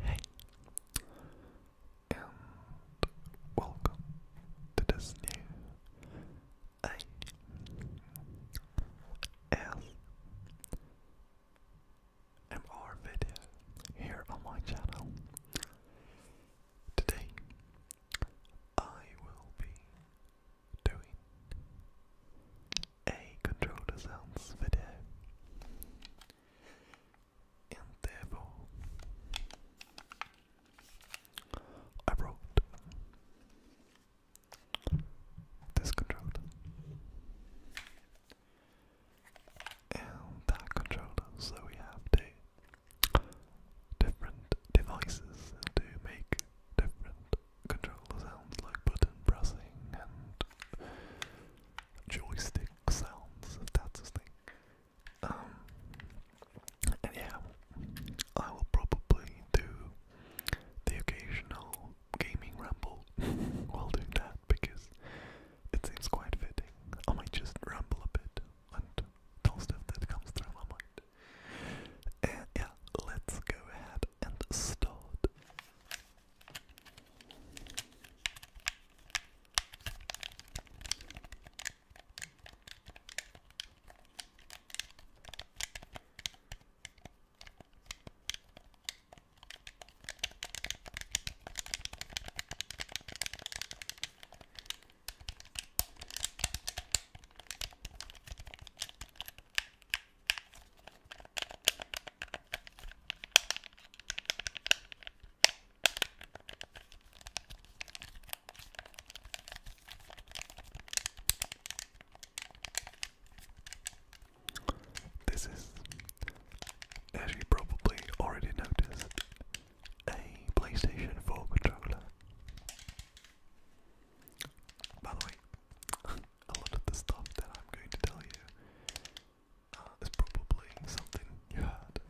Hey, and welcome to this new ASMR video here on my channel. Today, I will be doing a controller sounds video. And therefore, I wrote this controller. And that controller, so we have different devices to make different controller sounds like button pressing and joystick sounds, if that's his thing. Um, yeah, I will probably do the occasional gaming ramble while doing that because it seems quite fitting. I might just ramble a bit and tell stuff that comes through my mind. And uh, yeah, let's go ahead and start. This is, as you probably already noticed, a PlayStation 4 controller. By the way, a lot of the stuff that I'm going to tell you uh, is probably something you heard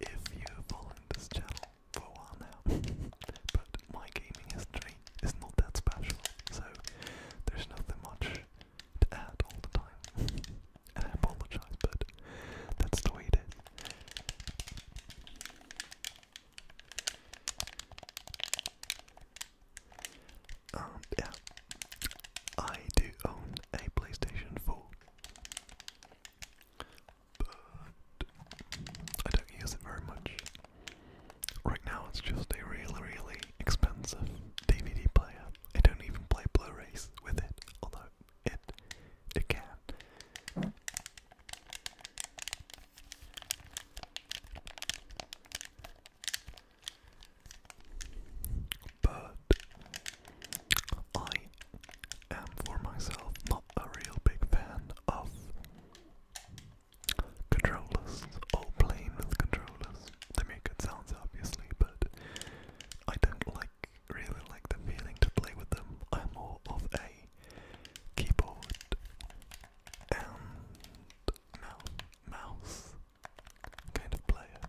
if you're following this channel for a while now. but my gaming history is not that special, so there's nothing much to add all the time. and I apologize, but that's the way it is yeah, I do own a PlayStation 4, but I don't use it very much. Right now, it's just a really, really expensive DVD player. I don't even play Blu-rays with it, although it it can. But I am for myself not a real big fan of controllers or playing with controllers. They make good sounds obviously, but I don't like really like the feeling to play with them. I'm more of a keyboard and mouse kind of player.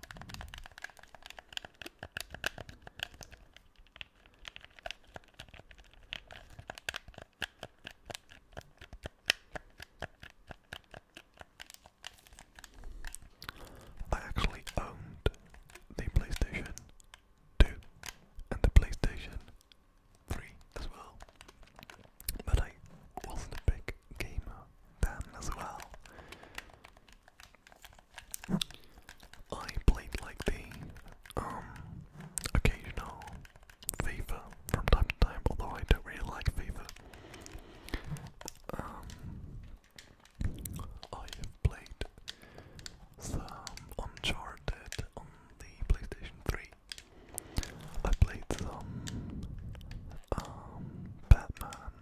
I actually owned the PlayStation 2 and the PlayStation 3 as well. But I wasn't a big gamer then as well. I played like the um, occasional FIFA from time to time, although I don't really like FIFA. Um, I have played some Uncharted on the PlayStation 3 I played some um, Batman,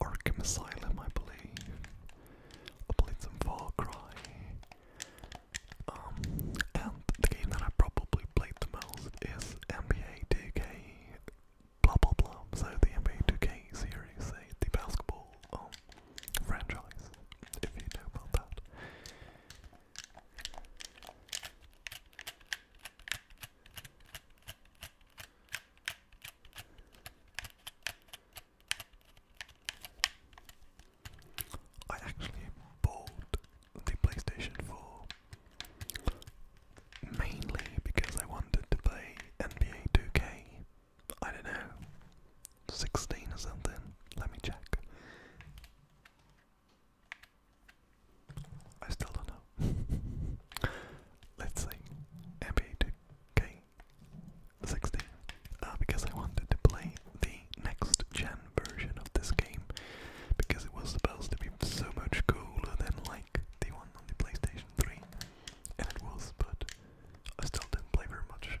Arkham Asylum, I believe. I played some Far Cry. Um, and the game that I probably played the most is NBA 2K, blah blah blah. So the NBA 2K series, the basketball um, franchise, if you know about that. I actually bought the PlayStation 4 mainly because I wanted to play NBA 2K. I don't know, 16 or something. Let me check. I still don't know. Let's see. NBA 2K16. Uh, because I wanted to play the next gen version of this game. Because it was supposed to be so much cooler than like the one on the PlayStation 3. And it was, but I still didn't play very much.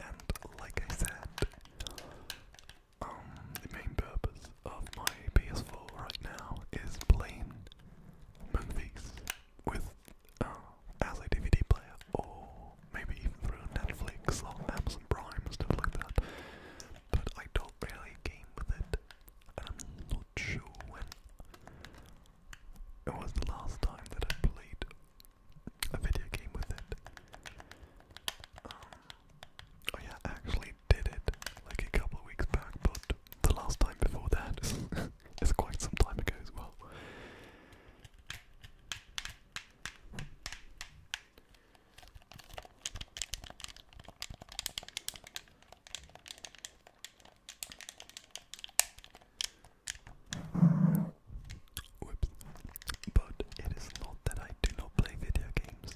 And like I said, um, the main purpose of my PS4 right now is playing movies with uh, as a DVD player, or maybe even through Netflix or Amazon Prime and stuff like that. But I don't really game with it, and I'm not sure when it was the last time that I played a video game with it. Um, oh yeah, actually, did it like a couple of weeks back, but the last time before that is, quite some time ago as well. Whoops. But it is not that I do not play video games.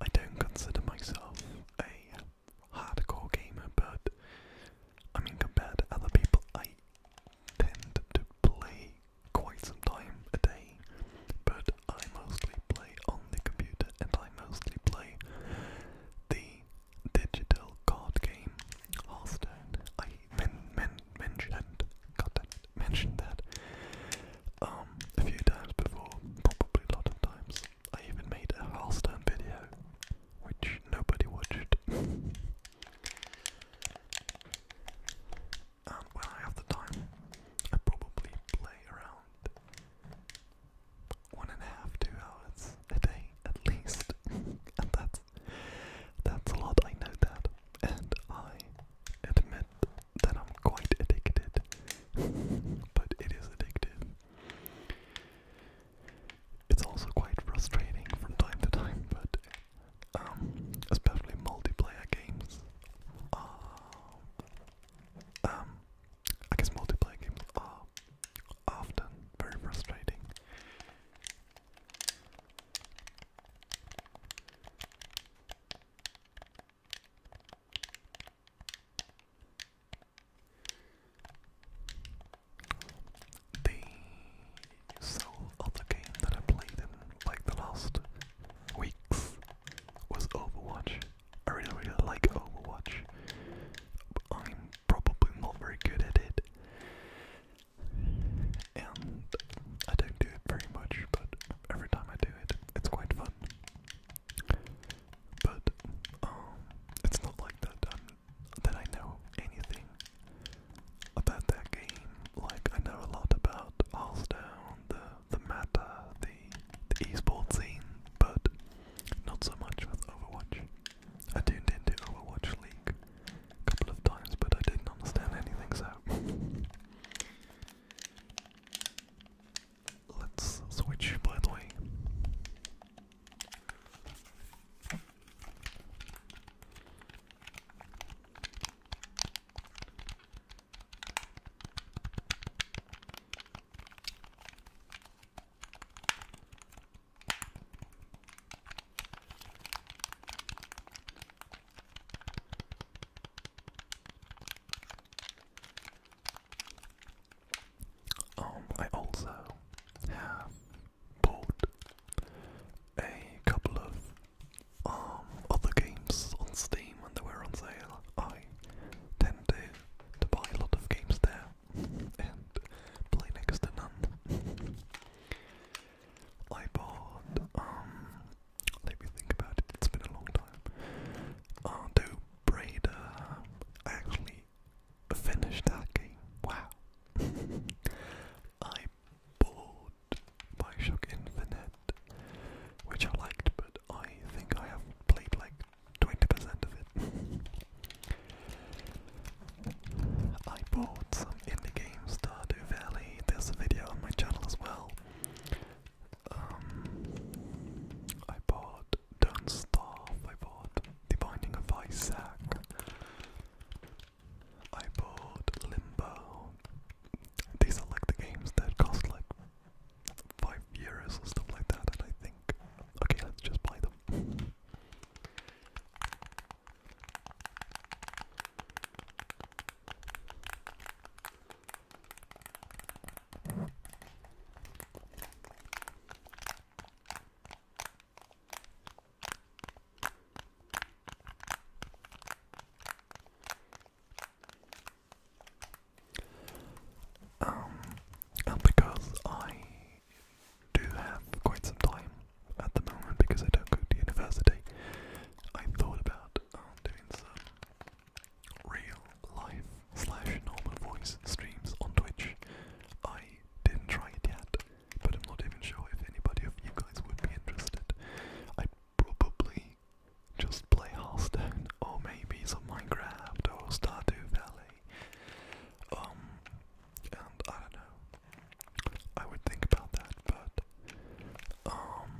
I don't consider myself a hardcore gamer, but I mean, compared to other people, I tend to play quite some time a day, but I mostly play on the computer and I mostly play the digital card game Hearthstone. I men men mentioned, God it, mentioned that um, a few times before, probably a lot of times. I even made a Halston video, which nobody watched. when I have the time, I probably play around one and a half, two hours a day at least. and that's that's a lot, I know that. And I admit that I'm quite addicted. but it is addictive. It's also quite frustrating from time to time, but um, especially multiplayer games. Uh, um, I guess multiplayer games are often very frustrating. The sole other game that I played in like the last weeks was Overwatch. I really really like Overwatch. I'm probably not very good at it. And I don't do it very much, but every time I do it. It's quite fun. But um, it's not like that um, that I know anything about that game. Like I know a lot about Allsdown, the the meta, the the esports scene, but not so much with Overwatch. I tuned into Overwatch League a couple of times, but I didn't understand anything. So Let's switch, by the way. Um, I also bought a couple of um other games on Steam when they were on sale. I tend to to buy a lot of games there and play next to none. I bought um let me think about it. It's been a long time. Ardo oh, Breda. I actually finished that game. Wow. I bought Bioshock Infinite, which I liked, but I think I have played like 20% of it. I bought some indie games, Stardew Valley. There's a video on my channel as well. Um, I bought Don't Starve, I bought The Binding of Isaac, I bought Limbo. These are like the games that cost like 5 euros and stuff like that, and I think, okay, let's just buy them. Um, and because I do have quite some time at the moment because I don't go to university. I thought about um, doing some real life slash normal voice streams on Twitch. I didn't try it yet, but I'm not even sure if anybody of you guys would be interested. I'd probably just play Hearthstone or maybe some Minecraft or Stardew Valley. Um, and I don't know. I would think about that, but um,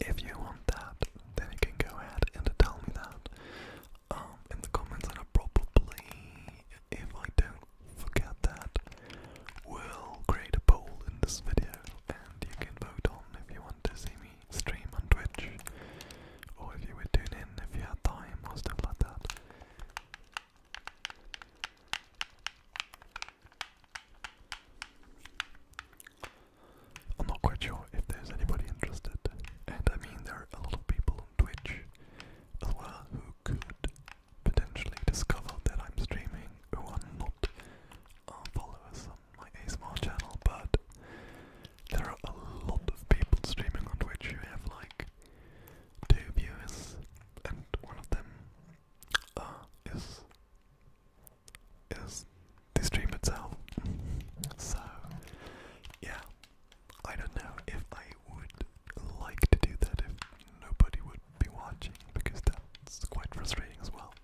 if you want that, then you can go ahead and tell me that um, in the comments, and I probably, if I don't forget that, will create a poll in this video, and you can vote on if you want to see me stream on Twitch, or if you would tune in if you had time or stuff like that. I'm not quite sure if there's anybody interested, and I mean, there are a lot of people on Twitch as well who could potentially discover that I'm streaming who are not uh, followers on my ASMR channel, but there are a lot of people streaming on Twitch who have like two viewers, and one of them uh, is is the stream itself. So yeah, I don't know if I would like to do that if nobody would be watching because that's quite frustrating as well.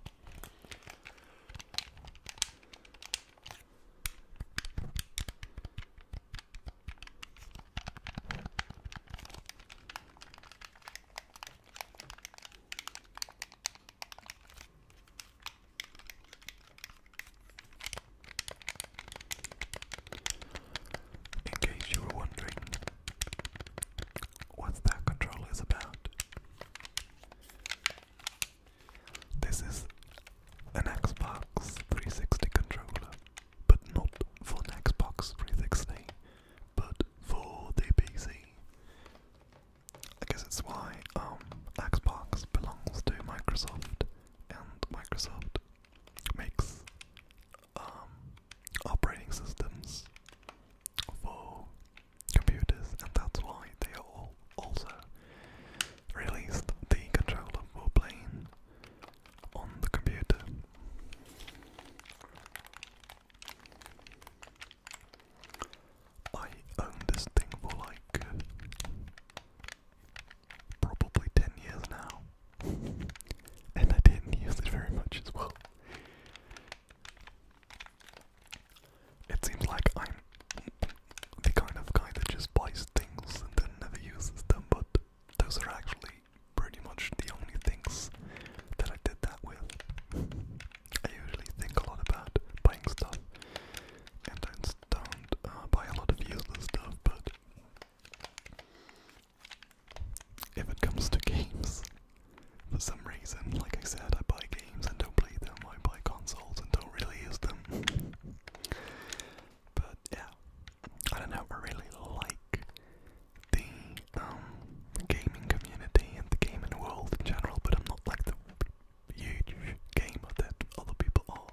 In case you were wondering what that control is about, this is an Xbox 360 controller but not for an Xbox 360, but for the PC. I guess it's why um, Xbox belongs to Microsoft, and Microsoft makes um, operating systems for computers, and that's why they all also released the controller for playing on the computer. I owned this thing for like probably 10 years now, and I didn't use it very much as well. It seems like I'm the kind of guy that just buys things and then never uses them, but those are actually pretty much the only things that I did that with. I usually think a lot about buying stuff, and I don't uh, buy a lot of useless stuff, but if it comes to games, for some reason, like I said, I buy games and don't play them, I buy consoles and don't really use them. But yeah, I don't know. I really like the um gaming community and the gaming world in general, but I'm not like the huge gamer that other people are.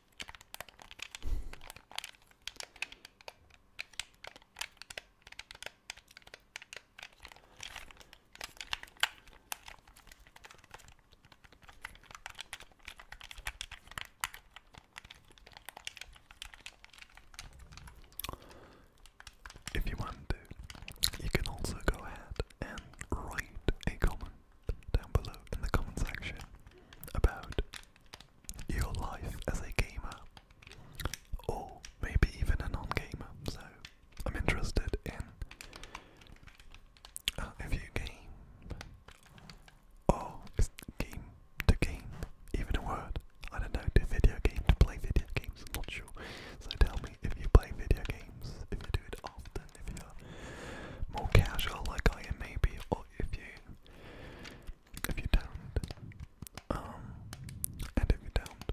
If you want to, you can also go ahead and write a comment down below in the comment section about your life as a gamer or maybe even a non-gamer. So I'm interested in uh, if you game or game to game even a word. I don't know, do video game to play video games, not sure. So tell me if you play video games, if you do it often if you're more casual like I am maybe or if you if you don't um and if you don't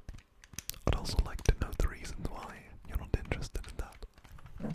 I'd also like to know the reasons why you're not interested in that.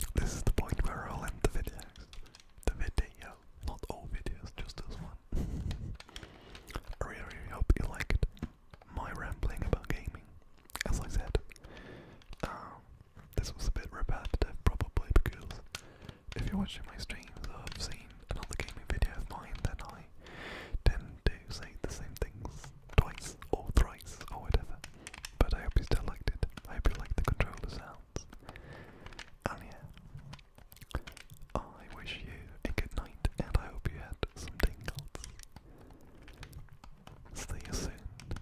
And this is the point where I'll end the video. The video, not all videos, just this one. I really, hope you liked my rambling about gaming. As I said, um, this was a bit repetitive probably because if you're watching my streams I've seen another gaming video of mine then I tend to say the same things twice or thrice or whatever. But I hope you still liked it. I hope you liked the controller sounds. And yeah, I wish you a good night and I hope you had some tingles. See you soon.